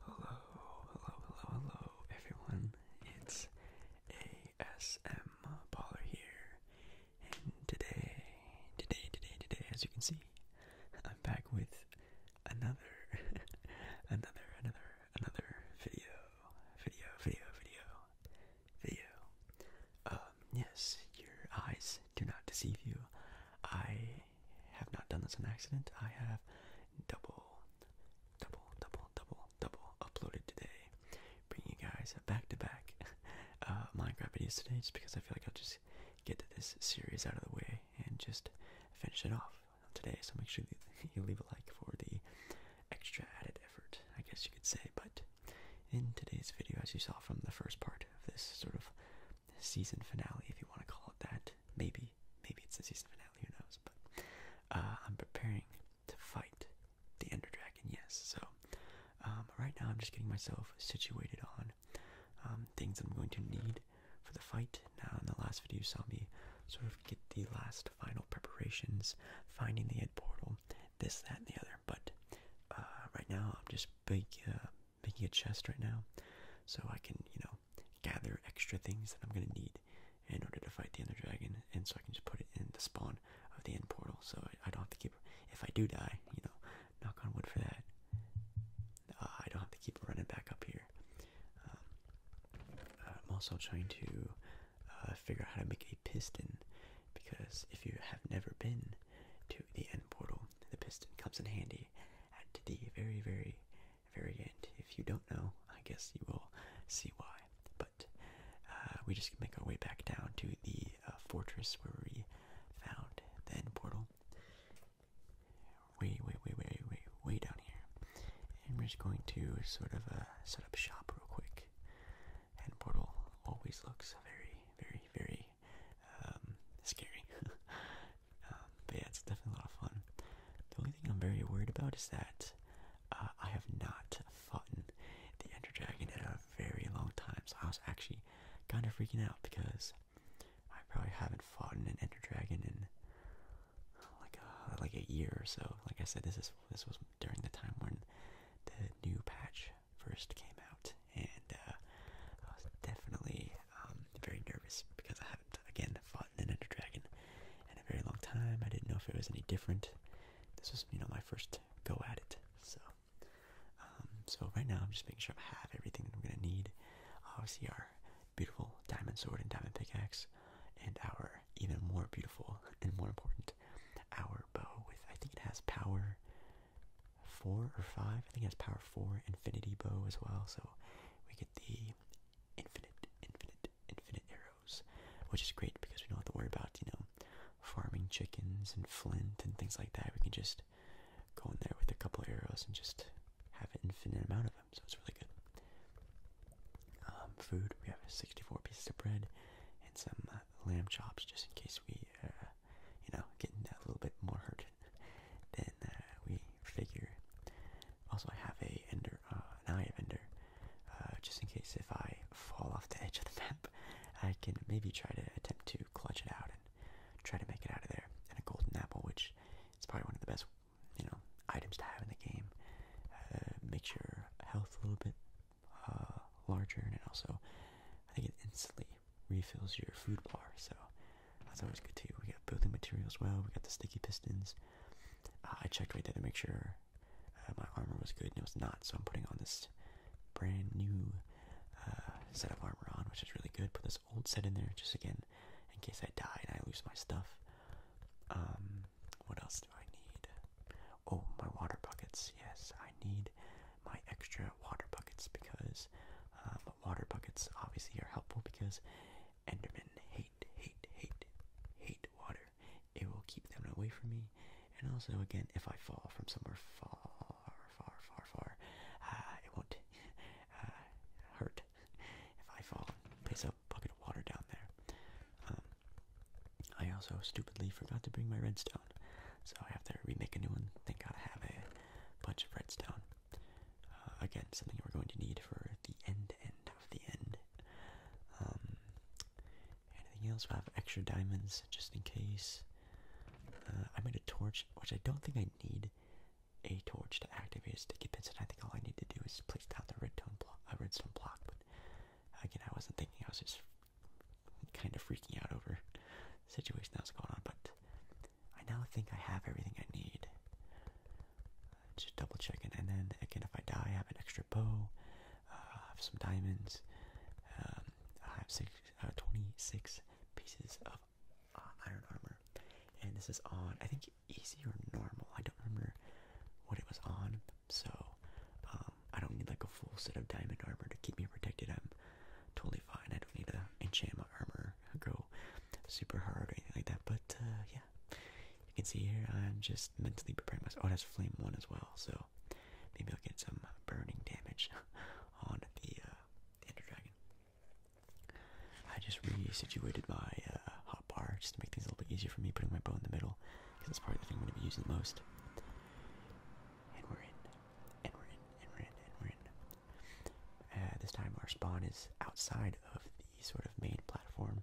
Hello, hello, hello, hello, everyone. It's ASM Baller here, and today, today, today, today, as you can see, I'm back with another, another, another, another video, video, video, video, video. Um, yes, your eyes do not deceive you. I have not done this on accident. I have double, double, double, double, double uploaded today, bringing you guys back to back uh, Minecraft videos today, just because I feel like I'll just get this series out of the way and just finish it off today. So make sure you leave a like for the extra added effort, I guess you could say. But in today's video, as you saw from the first part of this sort of season finale, if you want to call it that, Maybe, maybe it's the season finale. Who knows? But uh, I'm preparing to fight the Ender Dragon. Yes. So um, right now, I'm just getting myself situated on um, things I'm going to need for the fight. Now, in the last video, you saw me sort of get the last final preparations, finding the head portal, this, that, and the other. But uh, right now, I'm just big, uh, making a chest right now, so I can, you know, gather extra things that I'm gonna need in order to fight the Ender Dragon, and so I can just put it in the spawn of the end portal, so I, don't have to keep, if I do die, you know, knock on wood for that, uh, I don't have to keep running back up here. Um, I'm also trying to uh, figure out how to make a piston, because if you have never been to the end portal, the piston comes in handy be at the very, very, very end. If you don't know, I guess you will see why. But uh, we just make our way back down to the uh, fortress where we found the end portal. Way, way, way, way, way, way down here. And we're just going to sort of uh, set up shop real quick. End portal always looks very, very, very very um, scary. Um, but yeah, it's definitely a lot of fun. The only thing I'm very worried about is that uh, I have not fought the Ender Dragon in a very long time. So I was actually kind of freaking out because I probably haven't fought an Ender Dragon in like a, uh, like a year or so. Like I said, this is this was during the time when the new patch first came out, and uh, I was definitely um, very nervous because I haven't, again, fought an Ender Dragon in a very long time. I didn't know if it was any different. This was, you know, my first go at it. So, um, so right now I'm just making sure I have everything that I'm gonna need. Obviously, our beautiful diamond sword and diamond pickaxe, and our even more beautiful and more important, our bow with I think it has power four or five. I think it has power four, infinity bow as well. So we get the infinite, infinite, infinite arrows, which is great because we don't have to worry about you know farming chickens and flint and things like that. We can just go in there with a couple arrows and just have an infinite amount of them. So it's really good. Um, food. We have 64 pieces of bread and some uh, lamb chops, just in case we, uh, you know, getting a little bit more hurt hard uh, we figure. Also, I have a ender, uh, an eye of ender, uh, just in case if I fall off the edge of the map, I can maybe try to attempt to clutch it out and try to make it out of there. And a golden apple, which is probably one of the best, you know, items to have in the game. makes your health a little bit larger, and it also, I think, it instantly refills your food bar, so that's always good too. We got building materials, as well. We got the sticky pistons. Uh, I checked right there to make sure uh, my armor was good, and it was not. So I'm putting on this brand new uh, set of armor on, which is really good. Put this old set in there, just again in case I die and I lose my stuff. Um, what else do I need? Oh, my water buckets. Yes, I need my extra water buckets because uh, but water buckets obviously are helpful because Endermen hate, hate, hate, hate water. It will keep them away from me. And also, again, if I fall from somewhere far, far, far, far, uh, it won't uh, hurt if I fall. Place a bucket of water down there. Um, I also stupidly forgot to bring my redstone, so I have to remake a new one. Thank God I have a bunch of redstone. Uh, again, something we're going to need for the end end of the end. Um, anything else? We'll have extra diamonds just in case. Uh, I made a torch, which I don't think I need a torch to activate a sticky piston. I think all I need to do is place down the redstone block. block. But again, I wasn't thinking. I was just kind of freaking out over the situation that was going on. But I now think I have everything I need. Uh, just double checking, and then again, if I die, I have an extra bow. Uh, I have some diamonds. Um, I have uh, 26 pieces of iron armor, and this is on I think easy or normal. I don't remember what it was on, so um, I don't need like a full set of diamond armor to keep me protected. I'm totally fine. I don't need to enchant my armor go super hard or anything like that. But uh, yeah, you can see here I'm just mentally preparing myself. Oh, that's flame one as well, so maybe I'll get some uh, burning damage on the uh, Ender Dragon. I just resituated my uh, hot bar just to make things a little bit easier for me, putting my bow in the middle because that's probably the thing I'm going to be using most. And we're in and we and we and we this time our spawn is outside of the sort of main platform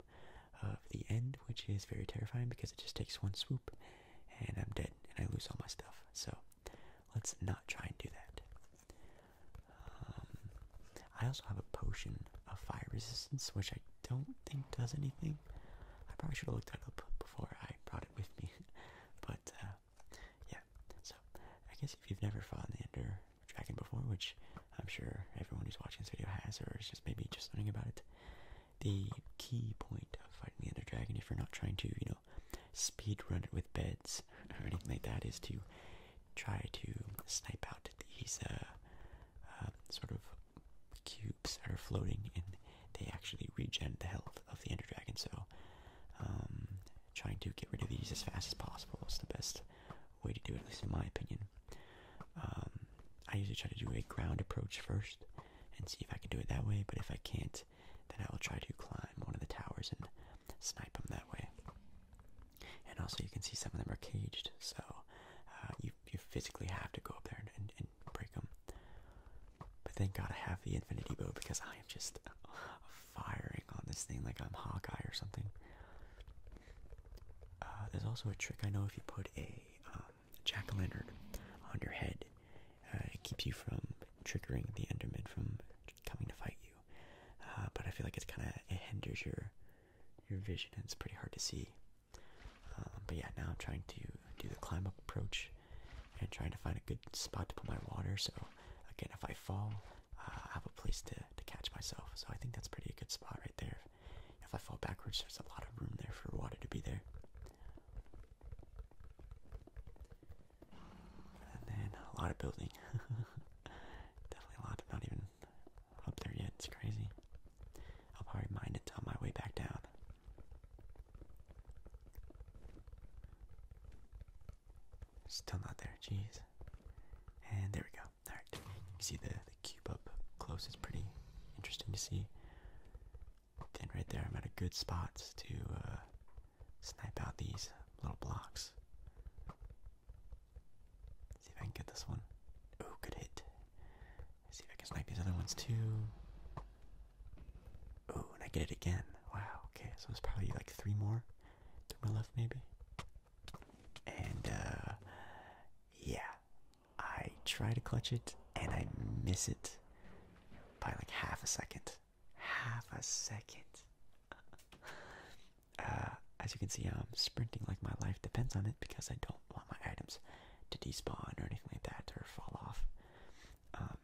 of the end, which is very terrifying because it just takes one swoop and I'm dead and I lose all my stuff. So let's not try and do that. Um, I also have a potion of fire resistance, which I don't think does anything. I probably should have looked that up before I brought it with me, but uh, yeah, so I guess if you've never fought the Ender Dragon before, which I'm sure everyone who's watching this video has, or is just maybe just learning about it, the key point of fighting the Ender Dragon, if you're not trying to, you know, speedrun it with beds or anything like that, is to try to snipe out these uh, uh, sort of cubes that are floating, and they actually regenerate the health of the Ender Dragon. So, um, trying to get rid of these as fast as possible is the best way to do it, at least in my opinion. Um, I usually try to do a ground approach first and see if I can do it that way, but if I can't, then I will try to climb one of the towers and snipe them that way. And also, you can see some of them are caged, so uh, you, you physically have to go up there and, and break them. But thank God I have the Infinity Bow because I am just firing on this thing like I'm Hawkeye or something. Uh, there's also a trick I know if you put a um, jack-o'-lantern on your head, uh, it keeps you from triggering the Enderman from coming to fight you. Uh, but I feel like it kind of hinders your your vision and it's pretty hard to see. Um, but yeah, now I'm trying to do the climb up approach and trying to find a good spot to put my water. So again, if I fall, uh, I have a place to to catch myself. So I think that's pretty a good spot right there. If I fall backwards, there's a lot of room there for water to be there. And then a lot of building. Definitely a lot. Not even up there yet. It's crazy. I'll probably mine it on my way back down. Still not there, jeez. And there we go. Alright, you can see the, the cube up close, it's pretty interesting to see. Then right there, I'm at a good spot to uh, snipe out these little blocks. Let's see if I can get this one. Oh, good hit. Let's see if I can snipe these other ones too. Oh, and I get it again. Wow, okay, so it's probably like three more. to my left, maybe. And, uh, yeah. I try to clutch it, and I miss it by like half a second. Half a second. Uh, as you can see, I'm sprinting like my life depends on it because I don't want my items to despawn or anything like that or fall off. Um,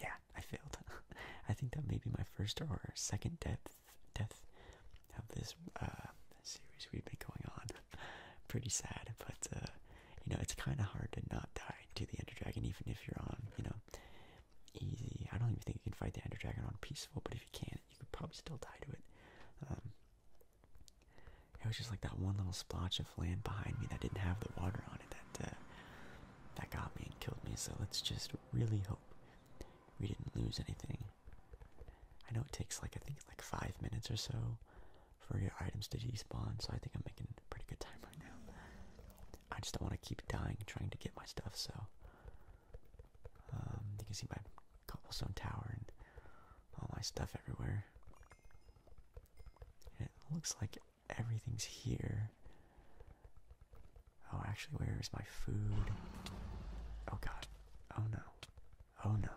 yeah, I failed. I think that may be my first or second death death of this uh, series we've been going on. Pretty sad, but uh, you know it's kind of hard to not die to the Ender Dragon, even if you're on you know easy. I don't even think you can fight the Ender Dragon on peaceful, but if you can, you could probably still die to it. Um, it was just like that one little splotch of land behind me that didn't have the water on it that uh, that got me and killed me, so let's just really hope we didn't lose anything. I know it takes like I think like five minutes or so for your items to despawn, so I think I'm making pretty good time right now. I just don't want to keep dying trying to get my stuff, so um, you can see my cobblestone tower and all my stuff everywhere. it looks like everything's here. Oh, actually, where is my food? Oh god. Oh no. Oh no.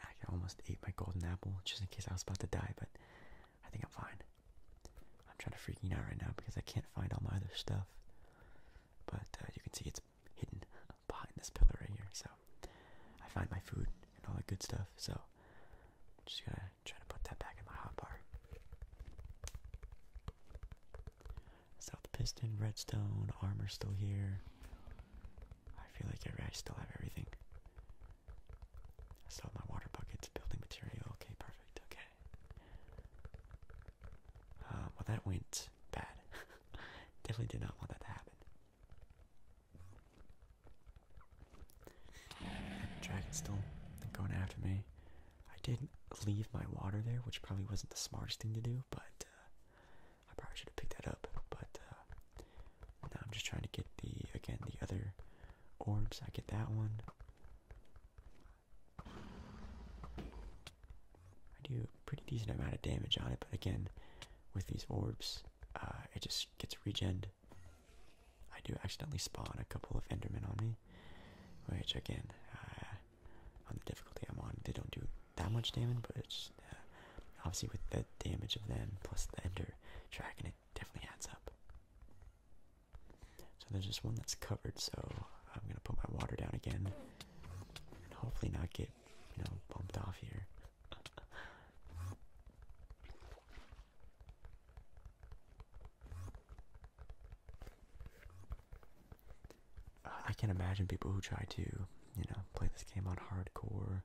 I almost ate my golden apple just in case I was about to die, but I think I'm fine. I'm trying to freaking out right now because I can't find all my other stuff. But uh, you can see it's hidden behind this pillar right here, so I find my food and all that good stuff. So I'm just gonna try to put that back in my hot bar. South Piston, Redstone, Armor still here. I feel like I still have everything. I still my water buckets, building material. Okay, perfect. Okay. Um, well, that went bad. Definitely did not want that to happen. Dragon's still going after me. I did not leave my water there, which probably wasn't the smartest thing to do, but uh, I probably should have picked that up. But uh, now I'm just trying to get the again the other orbs. I get that one. I do a pretty decent amount of damage on it, but again, with these orbs, uh, it just gets regen. I do accidentally spawn a couple of Endermen on me, which again, uh, on the difficulty I'm on, they don't do that much damage, but it's uh, obviously with the damage of them plus the Ender Dragon, it definitely adds up. So there's just one that's covered, so I'm gonna put my water down again, and hopefully not get you know bumped off here. I can imagine people who try to, you know, play this game on hardcore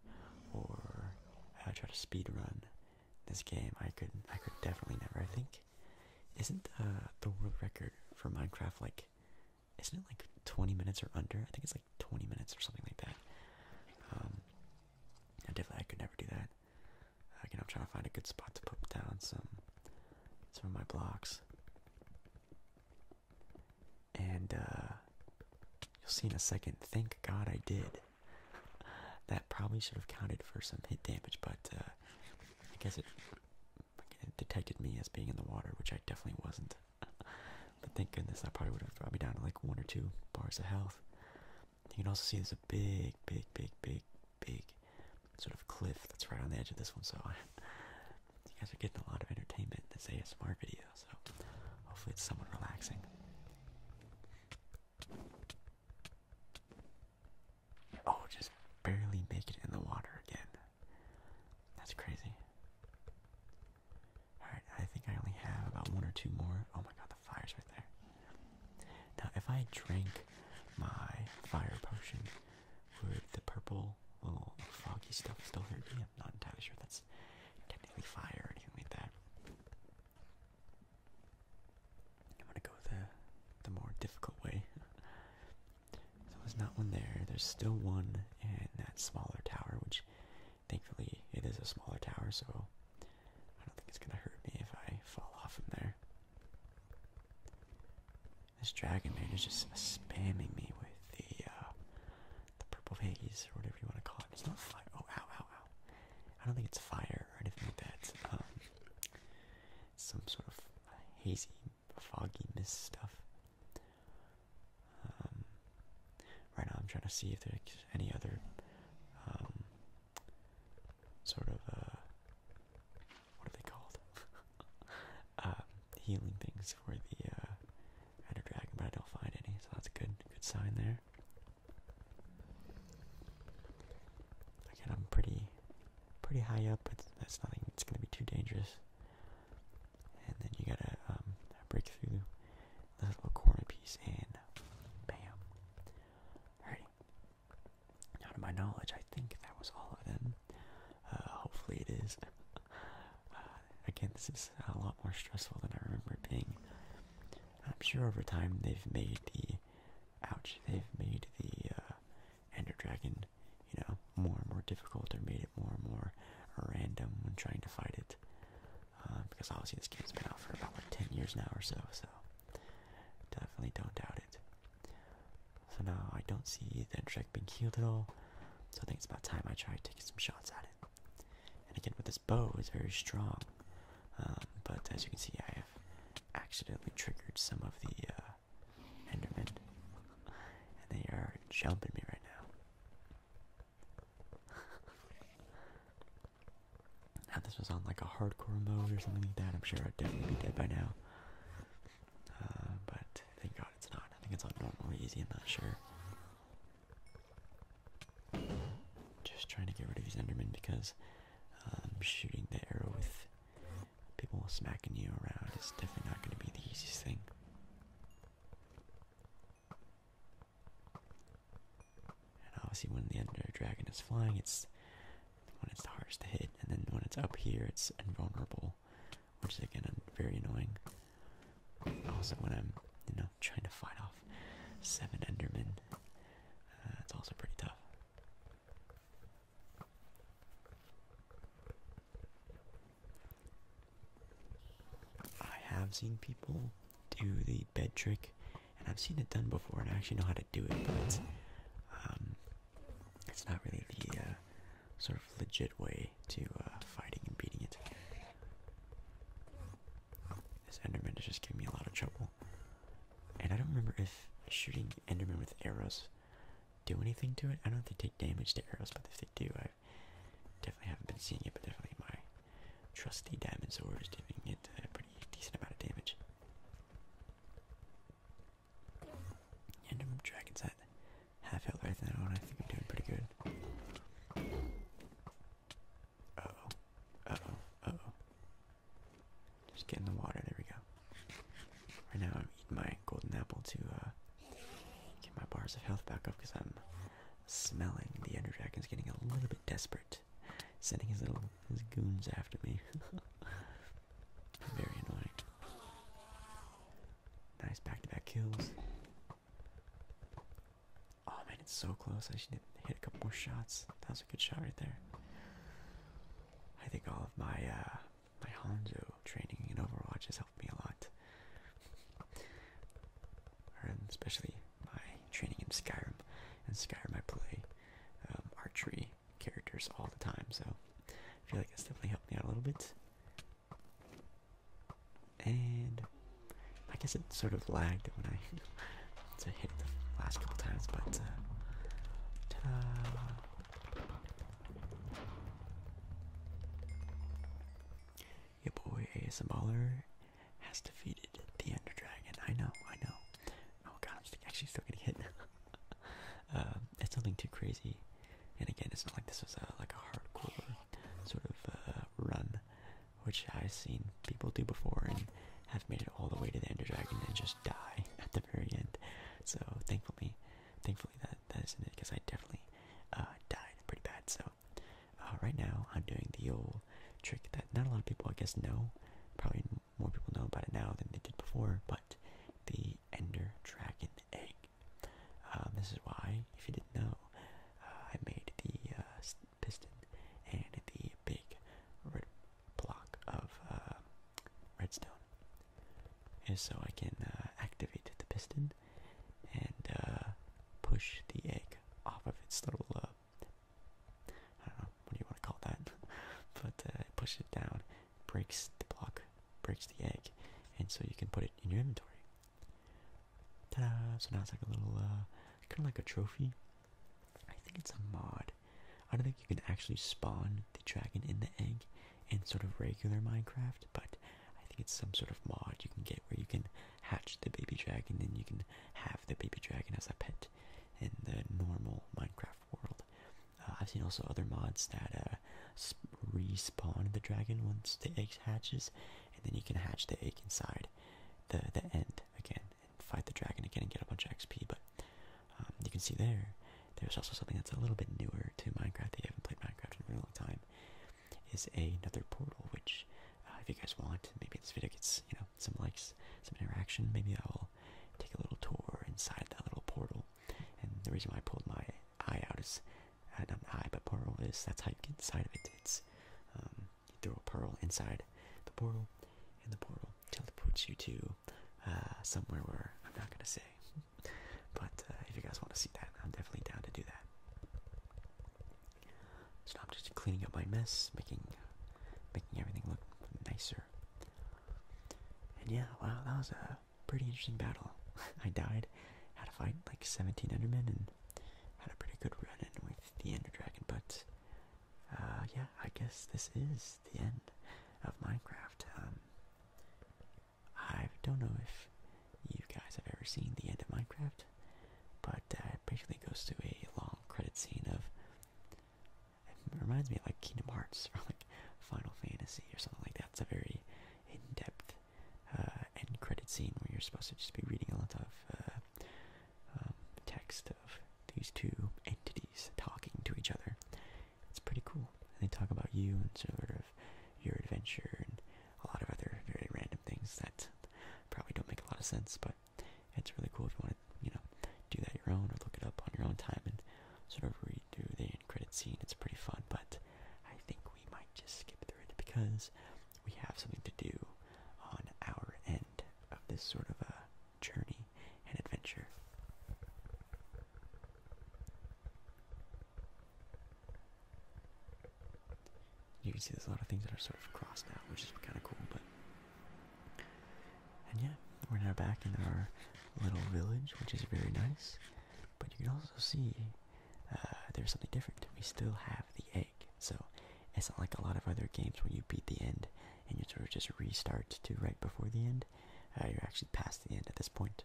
or uh, try to run this game. I could, I could definitely never. I think, isn't uh, the world record for Minecraft like, isn't it like 20 minutes or under? I think it's like 20 minutes or something like that. Um, I definitely I could never do that. Again, I'm trying to find a good spot to put down some some of my blocks, and uh, you'll see in a second. Thank God I did. That probably should have counted for some hit damage, but uh, I guess it detected me as being in the water, which I definitely wasn't but thank goodness I probably would have brought me down to like one or two bars of health. You can also see there's a big, big, big, big, big sort of cliff that's right on the edge of this one. So you guys are getting a lot of entertainment in this ASMR video. So hopefully it's somewhat relaxing. Oh, just barely make it in the water again. That's crazy. Alright, I think I only have about one or two more. Oh my god, the fire's right there. Now, if I drink my fire potion, would the purple little foggy stuff still hurt me? I'm not entirely sure if that's technically fire or anything like that. I'm gonna go the, the more difficult way. so there's not one there. There's still one in that smaller tower, which Thankfully, it is a smaller tower, so I don't think it's gonna hurt me if I fall off from there. This dragon man is just spamming me with the uh, the purple haze or whatever you want to call it. It's not fire. Oh, ow, ow, ow! I don't think it's fire or anything like that. Um, some sort of hazy, foggy mist stuff. Um, right now, I'm trying to see if there's any other um, sort of uh, what are they called? Uh, healing things for the uh, Dragon, but I don't find any, so that's a good good sign there. Again, I'm pretty pretty high up, but that's nothing. It's gonna be too dangerous and then you gotta um, break through this little corner piece, and bam. Alrighty. Now, to my knowledge, I think that was all of them. Uh, hopefully, it is. Uh, again, this is a lot more stressful than I remember being. I'm sure over time they've made the ouch, they've made the uh, Ender Dragon, you know, more and more difficult or made it more and more random when trying to fight it. Uh, because obviously this game's been out for about like 10 years now or so, so definitely don't doubt it. So now I don't see the Drake being healed at all, so I think it's about time I try taking some shots at it. And again, with this bow, it's very strong, um, but as you can see, I have accidentally triggered some of the uh, Endermen, and they are jumping me right now now this was on like a hardcore mode or something like that, I'm sure I'd definitely be dead by now. Uh, but thank God it's not. I think it's on normal easy, I'm not sure. Just trying to get rid of these Endermen because um, shooting the arrow with people smacking you around is definitely not going to be the easiest thing. And obviously, when the Ender Dragon is flying, it's when it's the hardest to hit, and then when it's up here, it's invulnerable, which is again very annoying. Also, when I'm you know trying to fight off seven Endermen, uh, it's also pretty tough. I have seen people do the bed trick, and I've seen it done before, and I actually know how to do it, but um, it's not really the uh, sort of legit way to uh, fighting and beating it. This Enderman is just giving me a lot of trouble, and I don't remember if shooting Enderman with arrows do anything to it. I don't know if they take damage to arrows, but if they do, I definitely haven't been seeing it, but definitely my trusty diamond sword is doing it a uh, pretty decent amount of damage. And I'm dragon's half health right now, and I think I'm doing pretty good. Uh oh, uh oh, uh oh. Just get in the water, there we go. Right now I'm eating my golden apple to uh, get my bars of health back up because I'm Smelling the Ender Dragon's getting a little bit desperate, sending his little his goons after me. Very annoying. Nice back-to-back kills. Oh man, it's so close. I should hit a couple more shots. That was a good shot right there. I think all of my uh, my Hanzo training in Overwatch has helped me a lot and especially my training in Skyrim. and Skyrim, I play um, archery characters all the time, so I feel like it's definitely helped me out a little bit. And I guess it sort of lagged when I to hit the last couple times, but uh, your boy AS Baller has defeated the Ender Dragon. I know, I know. Oh god, I'm actually still getting hit. Um, it's nothing too crazy. And again, it's not like this was like a hardcore sort of uh, run, which I've seen people do before and have made it all the way to the Ender Dragon and just die at the very end. So thankfully, thankfully that that isn't it because I definitely uh, died pretty bad. So uh, right now I'm doing the old trick that not a lot of people I guess know. Probably more people know about it now than they did before, but the Ender Dragon Egg. Um, this is why, if you didn't know, uh, I made the uh, piston and the big red block of uh, redstone, is so I can activate the piston and uh, push the egg off of its little, uh, what do you want to call that? but uh, push it down, breaks the block, breaks the egg, and so you can put it in your inventory. Ta-da! So now it's like a little, uh, kind of like a trophy. I think it's a mod. I don't think you can actually spawn the dragon in the egg in sort of regular Minecraft, but I think it's some sort of mod you can get where you can hatch the baby dragon and you can have the baby dragon as a pet in the normal Minecraft world. Uh, I've seen also other mods that uh, respawn the dragon once the egg hatches, and then you can hatch the egg inside the the end again and fight the dragon again and get a bunch of XP. But um, you can see there, there's also something that's a little bit newer to Minecraft that you haven't played Minecraft in a really long time is another portal, which uh, if you guys want, maybe this video gets you know some likes, some interaction. Maybe I will take a little tour inside that little portal. And the reason why I pulled my eye out is uh, not an eye, but portal is that's how you get inside of it. It's um, throw a pearl inside the portal, and the portal teleports you to uh, somewhere where I'm not gonna say. But uh, if you guys want to see that, I'm definitely down to do that. So I'm just cleaning up my mess, making making everything look nicer. And yeah, wow, that was a pretty interesting battle. I died, had to fight like 17 Endermen, and had a pretty good run in with the Ender Dragon. But uh, yeah, I guess this is the end of Minecraft. Um, I don't know if you guys have ever seen the end of Minecraft, but uh, it basically goes to a long credit scene of. It reminds me of like Kingdom Hearts or like Final Fantasy or something like that. It's a very in-depth uh, end credit scene where you're supposed to just be reading a lot of uh, um, text of these two entities talking to each other. It's pretty cool. And they talk about you and sort of your adventure and a lot of other very random things that probably don't make a lot of sense, but it's really cool if you want to, you know, do that your own or look it up on your own time and sort of read through the end credit scene. It's pretty fun, but I think we might just skip through it because we have something to do on our end of this sort of a journey and adventure. You can see there's a lot of things that are sort of crossed out, which is kind of cool, but... And yeah, we're now back in our little village, which is very nice. But you can also see uh, there's something different. We still have the egg, so it's not like a lot of other games where you beat the end and you sort of just restart to right before the end. Uh, you're actually past the end at this point.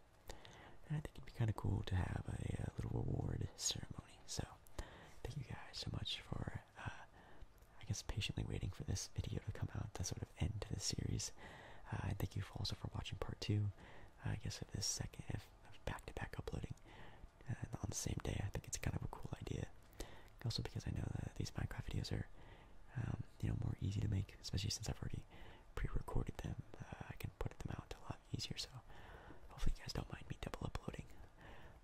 I think it'd be kind of cool to have a, uh, little award ceremony. So, thank you guys so much for, uh, I guess, patiently waiting for this video to come out to sort of end to this series. I uh, and thank you for also for watching part two. I guess of this second, if back-to-back uploading on the same day, I think it's kind of a cool idea. Also, because I know that these Minecraft videos are, um, you know, more easy to make, especially since I've already pre-recorded them. I can Put them out a lot easier. So hopefully you guys don't mind me double uploading.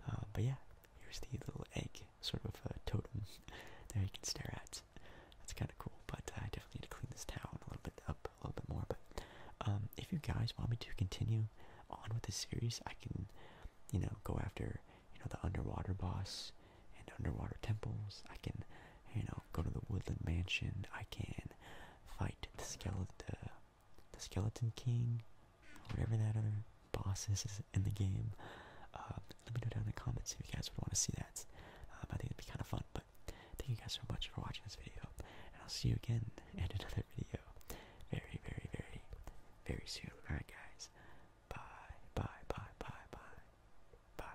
Uh, but yeah, here's the little egg, sort of a totem there you can stare at. That's kind of cool, but I definitely need to clean this town a little bit up, a little bit more. But um, if you guys want me to continue on with this series, I can, you know, go after you know the underwater boss and underwater temples. I can, you know, go to the woodland mansion. I can fight the skeleton, uh, the skeleton king, whatever that other boss is in the game. Uh, let me know down in the comments if you guys would want to see that. Um, I think it'd be kind of fun. But thank you guys so much for watching this video, and I'll see you again in another video very, very, very, very soon. All right, guys. Bye, bye, bye, bye, bye, bye.